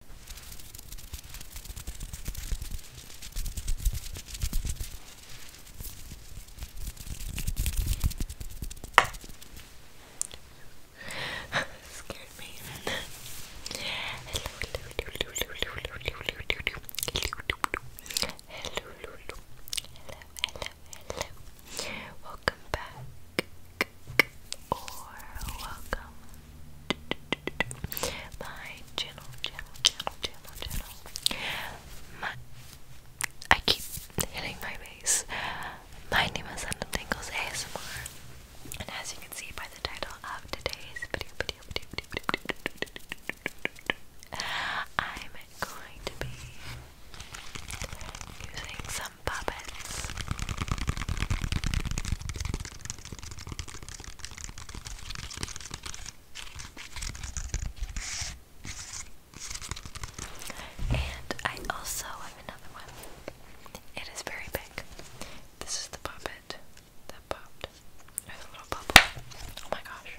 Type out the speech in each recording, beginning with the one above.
Scared me. hello, hello, hello, hello, hello, hello, hello, hello, hello, hello, hello, hello. Welcome back, or welcome my channel, channel, channel, channel, channel. My, I keep hitting my base. My name is London Tingles ASMR, and as you can see by the title of today's video, video, video, video, video, video, video, video I'm going to be using some puppets. And I also have another one. It is very big. This is the puppet that popped. Or the little bubble. Oh my gosh.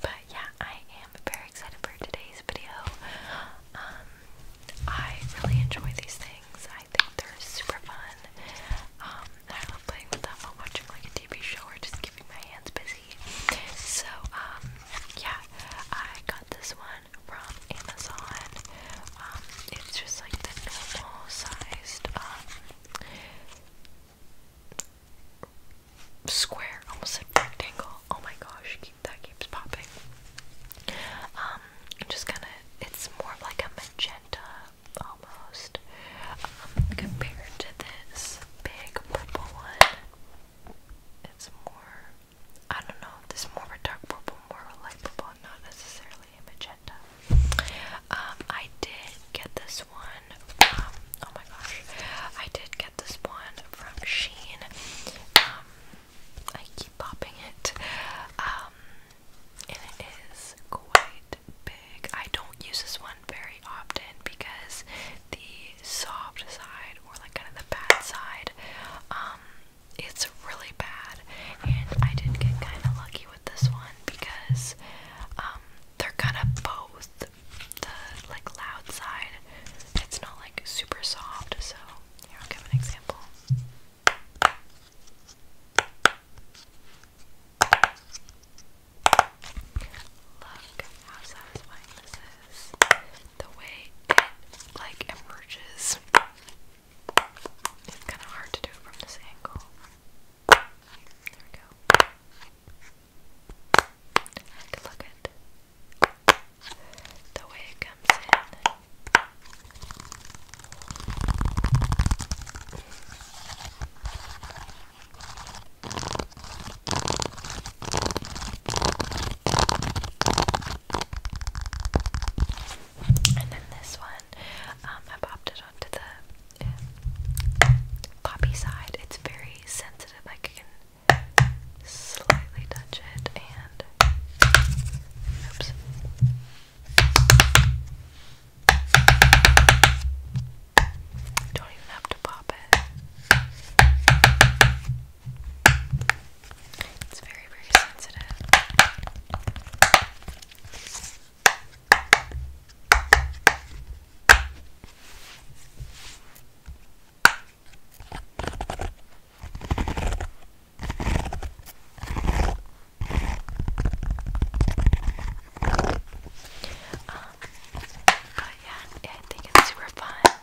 But yeah, I am very excited for today's video. Um, I really enjoy these things. I think they're super fun. Um, I love playing with them while watching like a TV show or just keeping my hands busy. So, um, yeah, I got this one from Amazon. Um, it's just like the normal sized, um, square, almost a rectangle. Oh my gosh, that keeps popping. Um, I'm just kind of it's more like a magenta almost um, compared to this big purple one. It's more I don't know. This more of a dark purple, more of a light purple, not necessarily a magenta. Um, I did get this one from, oh my gosh, I did get this one from Sheen. I keep popping it. Um, and it is quite big. I don't use this one very often because the soft side, or like kind of the bad side, um, it's really bad. And I did get kind of lucky with this one because um, they're kind of both the like loud side. It's not like super soft, so here I'll give an example. Look how satisfying this is. The way it like emerges. It's kind of hard to do it from this angle. There we go. Look at and then this one, um, I popped it onto the um, poppy side. It's very sensitive, I can slightly touch it, and Oops. Don't even have to pop it. It's very, very sensitive. Um, but yeah, I think it's super fun.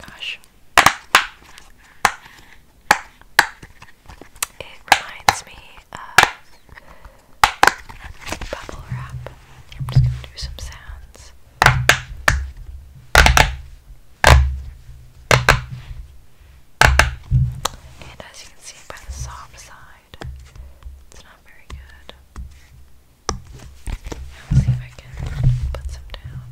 Gosh. It reminds me of bubble wrap. I'm just gonna do some sounds. And as you can see by the soft side, it's not very good. I'll see if I can put some down.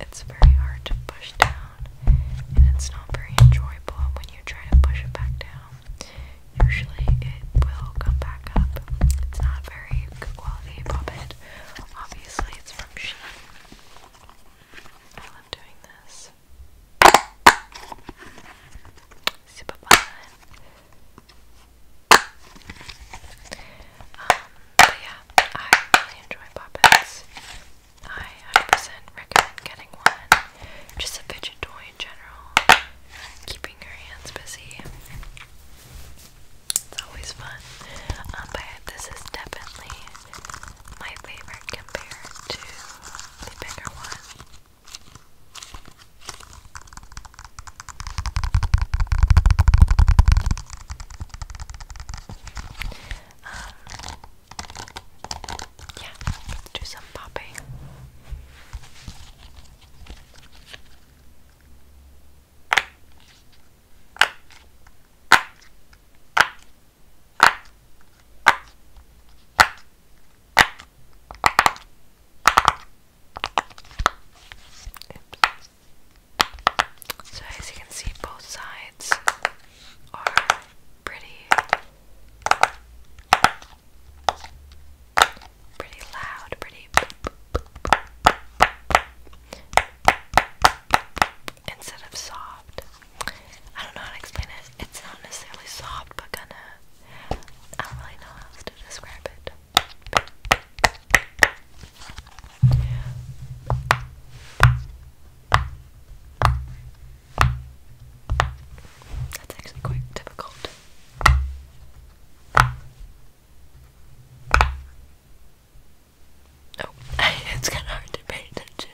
It's very hard to push down, and it's not very enjoyable when you try to push it back down. Usually it will come back up. It's not very quality puppet. Obviously it's from Shein. I love doing this. Super fun. Um, but yeah, I really enjoy puppets. I 100% recommend getting one just a fidget toy in general. Keeping your hands busy. It's always fun. Um, but this is definitely my favorite compared to the bigger one. Um, yeah, let's do some popping. So, as you can see, both sides are pretty Pretty loud, pretty. Instead of soft. I don't know how to explain it. It's not necessarily soft, but kinda. I don't really know how to describe it. That's actually quite difficult. Oh, it's kind of hard to pay attention.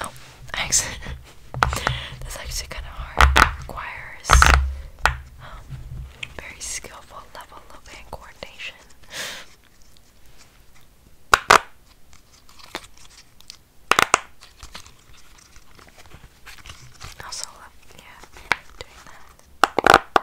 Oh, actually, that's actually kind of hard. requires um, very skillful level of hand coordination. Also, love, yeah, doing that.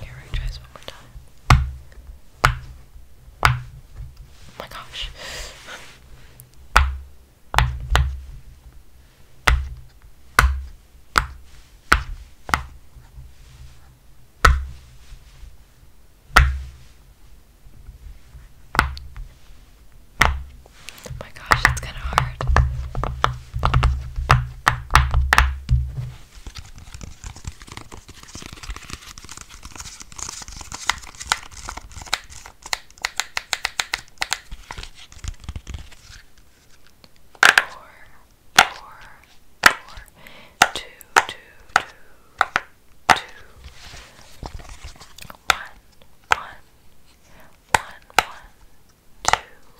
Here, we're try this one more time. Oh my gosh. Oh my gosh, it's kind of hard. Four, four, four, two, two, two, two, one, one, one, one, two,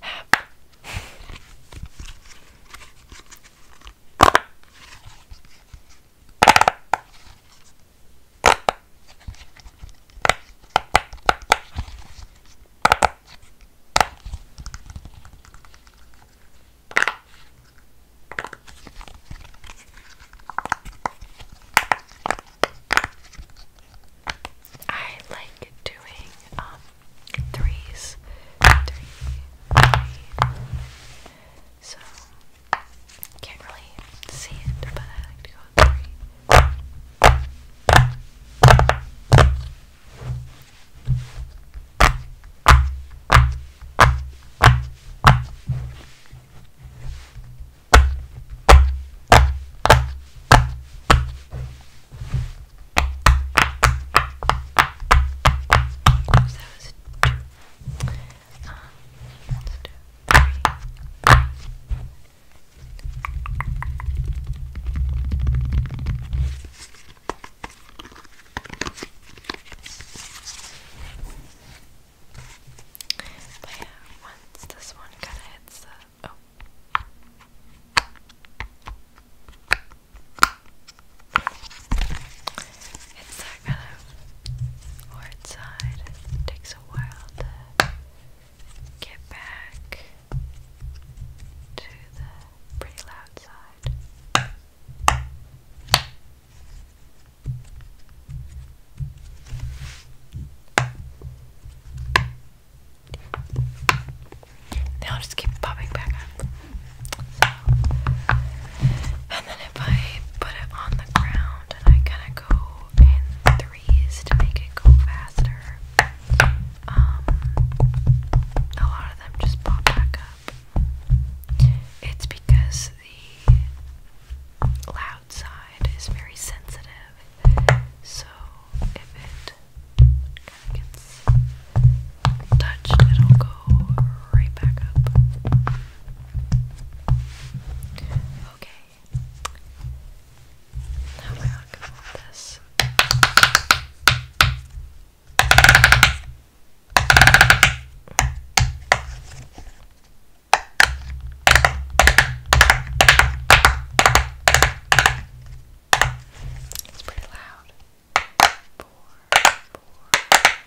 have. I like doing um threes, So can't really see it, but I like to go three. Three, so that was two. Um, let's do three. But yeah, once this one kind of hits the. Oh. It's that kind of hard side. takes a while to get back to the pretty loud side. They all just keep popping back up. and then if I put it on the ground and I kind of go in threes to make it go faster, um, a lot of them just pop back up. It's because the loud side is very sensitive, so if it gets touched, it'll go right back up. Okay. Now we're not gonna this. It's pretty loud. Four, four, four.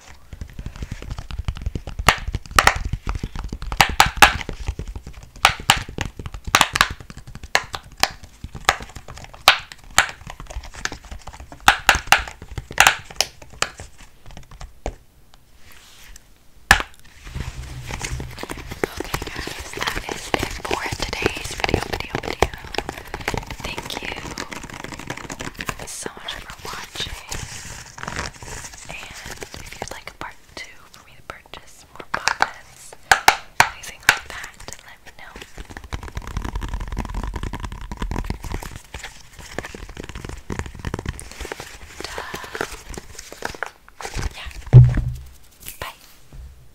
Okay, guys that is it for today's video, video, video. Thank you so much for watching. And if you'd like a part two for me to purchase more pockets, anything like that, let me know. yeah. Bye.